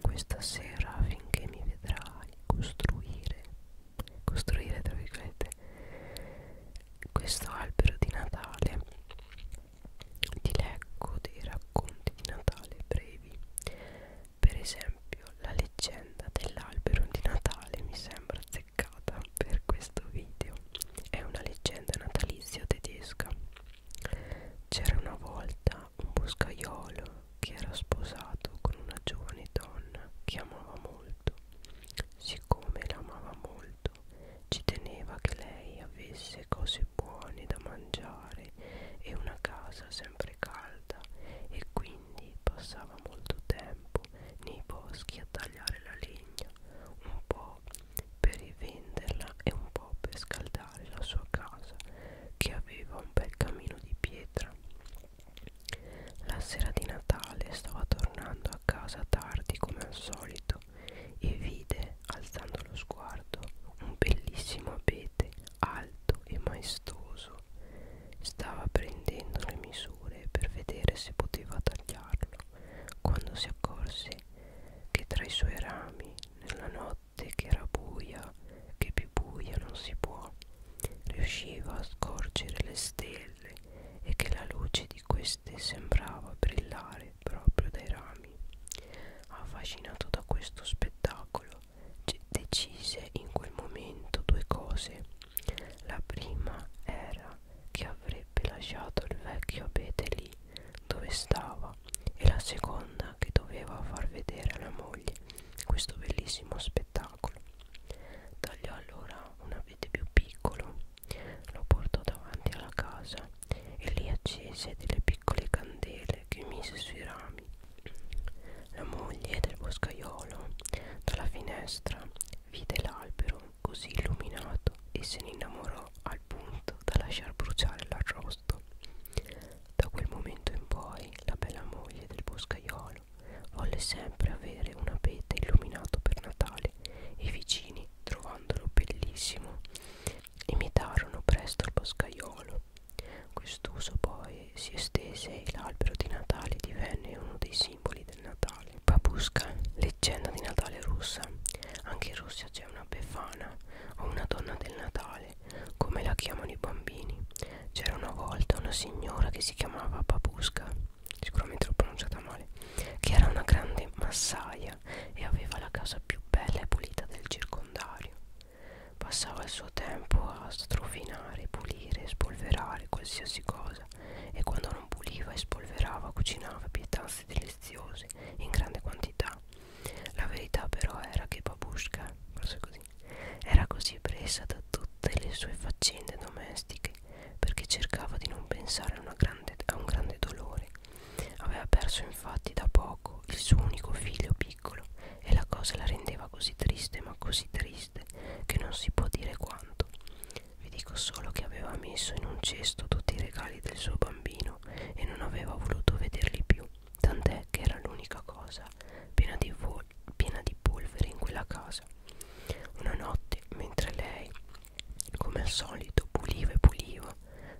questa sera finché mi vedrai costruire costruire tra virgolette questo albero di Natale ti leggo dei racconti di Natale brevi per esempio la leggenda dell'albero di Natale mi sembra azzeccata per questo video è una leggenda natalizia tedesca c'era una volta un boscaiolo che era sposato con una giovane donna che amava molto. Siccome la amava molto, ci teneva che lei avesse cose buone da mangiare e una casa sempre calda e quindi passava molto tempo nei boschi a tagliare la legna, un po' per rivenderla e un po' per scaldare guardare la sua casa che aveva un bel camino di pietra. La sera di Natale stava tornando a casa tardi come al solito e vide, alzando lo sguardo, un bellissimo abete alto e maestoso. Stava prendendo le misure per vedere se poteva tagliarlo quando si accorse che tra i suoi rami, nella notte, notte che era buia, che più buia non si può, riusciva a scorgere le stelle e che la luce di queste sembrava brillare proprio dai rami. Affascinato da questo spettacolo, decise in quel momento due cose. La prima era che avrebbe lasciato il vecchio abete lì dove stava e la seconda donna che doveva far vedere alla moglie questo bellissimo spettacolo. Tagliò allora un abete più piccolo, lo portò davanti alla casa e lì accese delle piccole candele che mise sui rami. La moglie del boscaiolo dalla finestra vide l'albero così illuminato e se ne innamorò al punto da lasciar bruciare la rosa posto. Da quel momento in poi la bella moglie del boscaiolo volle sempre avere un abete illuminato per Natale e i vicini, trovandolo bellissimo, imitarono presto il boscaiolo. Quest'uso poi si estese e l'albero di Natale divenne uno dei simboli del Natale. Babushka, leggenda di Natale russa. Anche in Russia c'è una befana o una donna del Natale come la chiamano i bambini. C'era una volta una signora che si chiamava Babusca, sicuramente l'ho pronunciata male, che era una grande massaia e aveva la casa più bella e pulita del circondario. Passava il suo tempo a strofinare, pulire, spolverare qualsiasi cosa e quando non puliva e spolverava cucinava pietanze deliziose in grande quantità la verità però era che Babushka, forse così, era così presa da tutte le sue faccende domestiche perché cercava di non pensare a, una grande, a un grande dolore. Aveva perso infatti da poco il suo unico figlio piccolo e la cosa la rendeva così triste, ma così triste, che non si può dire quanto. Vi dico solo che aveva messo in un cesto tutti i regali del suo bambino vicino e non aveva voluto vederli più, tant'è che era l'unica cosa piena di, piena di polvere in quella casa. Una notte, mentre lei, come al solito, puliva e puliva,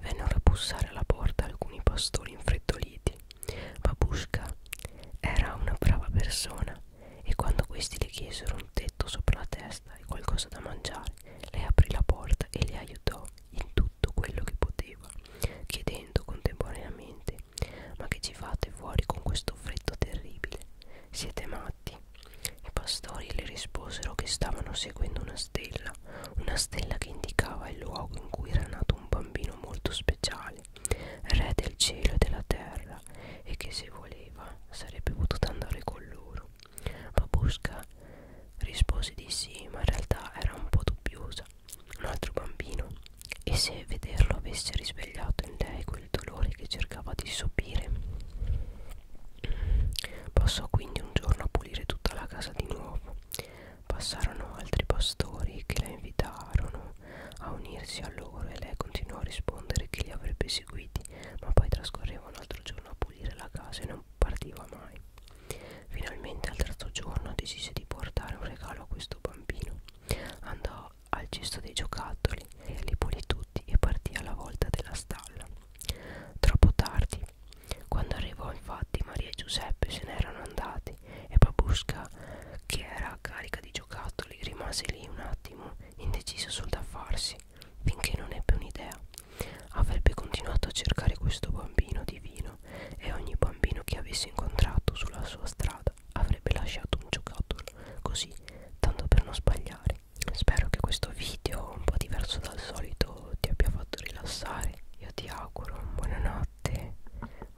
vennero a bussare alla porta alcuni pastori infreddoliti. Babushka era una brava persona e quando questi le chiesero un tetto sopra la testa e qualcosa da mangiare, lei aprì la porta e li aiutò in tutto tutto quello che poteva, chiedendo contemporaneamente ma che ci fate fuori con questo freddo terribile? Siete matti? I pastori le risposero che stavano seguendo una stella, una stella che indicava il luogo in cui era nato un bambino molto speciale, re del cielo e della terra, e che se voleva sarebbe potuto andare con loro. Babusca rispose di sì, ma in realtà era un po' dubbiosa. Un altro bambino, e se vederlo avesse risvegliato in lei quel dolore che cercava di sopire. Passò quindi un giorno a pulire tutta la casa di nuovo. Passarono altri pastori che la invitarono a unirsi a loro e lei continuò a rispondere che li avrebbe seguiti, ma poi trascorreva un altro giorno a pulire la casa e non non partiva mai. Finalmente al terzo giorno decise di portare un regalo a questo bambino. Andò al cesto dei giocattoli, li pulì tutti e partì alla volta della stalla. Troppo tardi, quando arrivò infatti Maria e Giuseppe se n'erano andati e Babusca, che era carica di giocattoli, rimase lì un attimo indeciso sul da farsi, finché non ebbe un'idea. Avrebbe continuato a cercare questo bambino divino e ogni bambino che avesse incontrato sulla sua strada avrebbe lasciato un giocattolo così, tanto per non sbagliare. Spero che questo video, un po' diverso dal solito, ti abbia fatto rilassare. Io ti auguro buonanotte,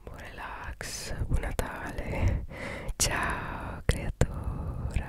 buon relax, buon Natale. Ciao creatura.